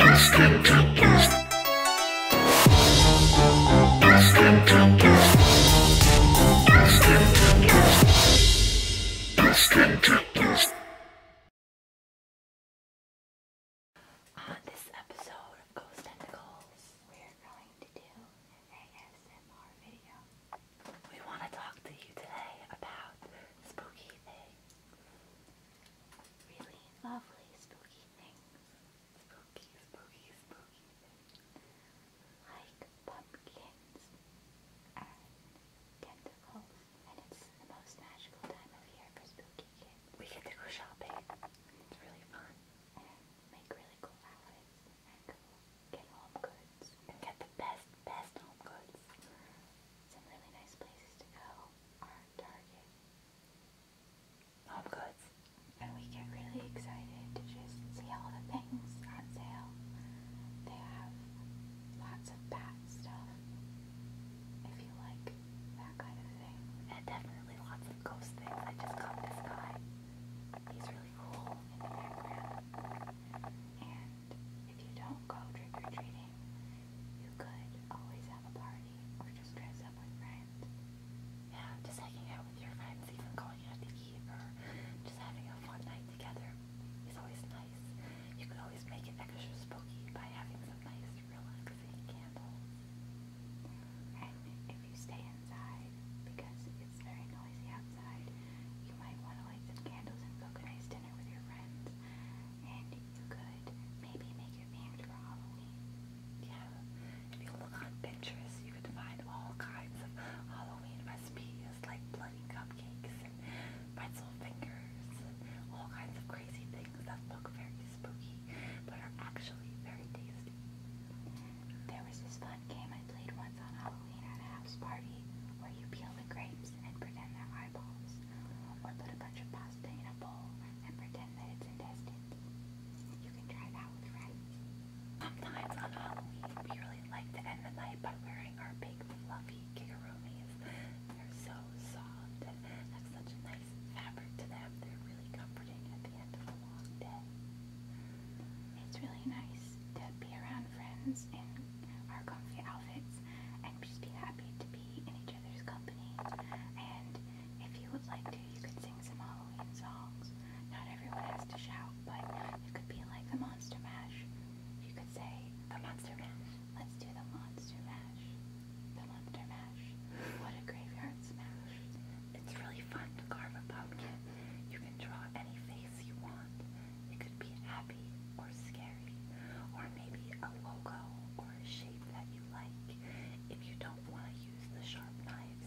On this episode of Ghost Tentacles, we're going to do an ASMR video. We want to talk to you today about spooky things really lovely spooky things. Spooky, spooky, spooky things. Like pumpkins and tentacles. And it's the most magical time of year for spooky We get to go shopping. It's really fun. And make really cool outfits. And get home goods. And get the best, best home goods. Some really nice places to go are Target, Home and we get really excited to just see all the things on sale. They have lots of bat stuff, if you like that kind of thing, and definitely lots of ghost things that just come this guy. He's really cool in the background. And if you don't go trick or treating, you could always have a party or just dress up with friends. Yeah, just hanging out with your friends, even going out to eat or just having a fun night together is always nice. You could always make it extra spooky by having some nice relaxing candles. And if you stay inside, because it's very noisy outside, you might want to light some candles and cook a nice dinner with your friends. And you could maybe make your band for Halloween. Yeah. If you look on Pinterest, you could find all kinds of Halloween recipes like bloody cupcakes and pretzel fingers and all kinds of crazy things that look very spooky but are actually very tasty. There was this fun game I played once on Halloween at a house party where you peel the grapes and pretend they're eyeballs. Sometimes we really like to end the night by wearing our big fluffy kikaronis. They're so soft and have such a nice fabric to them. They're really comforting at the end of a long day. It's really nice to be around friends in our comfy outfits and just be happy to be be in each other's company. And if you would like to, you could sing some Halloween songs. Not everyone has to shout, but it could be like the Monster Mash. You could say, The Monster Mash. Let's do the Monster Mash. The Monster Mash. What a graveyard smash. It's really fun to carve a pumpkin. You can draw any face you want. It could be happy or scary married, or maybe a logo or a shape that you like. If you don't want to use the sharp knives,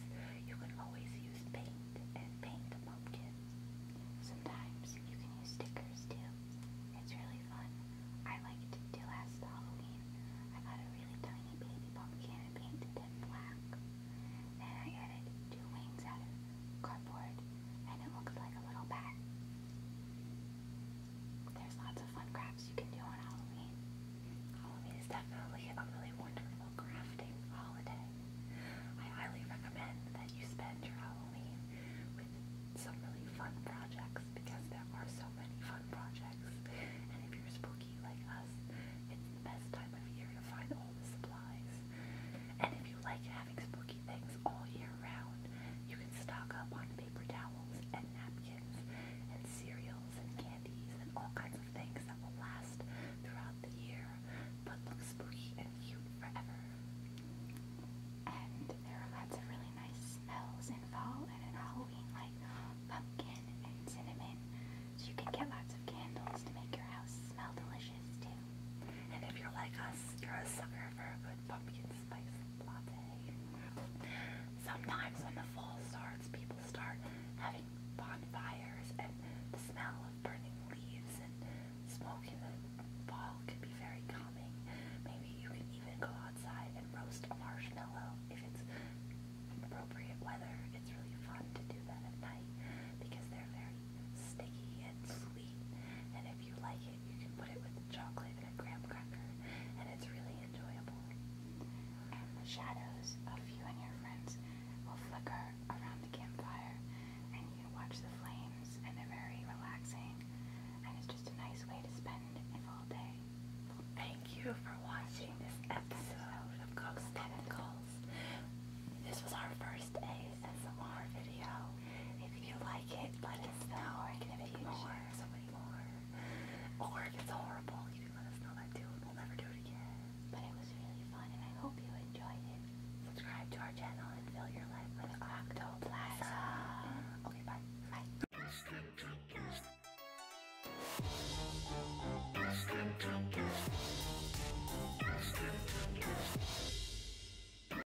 you can always use paint and paint a pumpkin. Sometimes you can use stickers too. It's really fun. I liked it too last Halloween. I got a really tiny baby pumpkin and painted it black. Then I added two wings out of cardboard and it looks like a little bat. There's lots of fun crafts you can do on Halloween. Halloween is definitely a really wonderful crafting holiday. I highly recommend that you spend your Halloween with some really fun projects because there are so many fun projects. And if you're spooky like us, it's the best time of year to find all the supplies. And if you like having spooky things all year round, you can stock up on paper towels and napkins and cereals and candies and all kinds of things that will last throughout the year but look spooky and cute forever. And there are lots of really nice smells in fall and in Halloween like pumpkin and cinnamon. So you can get lots of candles to make your house smell delicious too. And if you're like us, you're a sucker for a good pumpkin spice latte. Sometimes when the fall starts, people start having bonfires, and the smell of burning leaves and smoke in the fall can be very calming. Maybe you can even go outside and roast a marshmallow if it's appropriate weather. It's really fun to do that at night because they're very sticky and sweet. And if you like you can put it with chocolate and a graham cracker, and it's really enjoyable. And the shadows of you and your friends will flicker around the campfire, and you watch the flames, and they're very relaxing, and it's just a nice way to spend a full day. Thank you for watching this episode of Cook's Calls. This was our first A ASMR video. If you like it, let us know. I can make more, so many more. Or if it's horrible, let us know that too, we'll never do it again. But it was really fun, and I hope you enjoyed it. Subscribe to our channel and fill your life with Octoplasm. Okay, bye. Bye.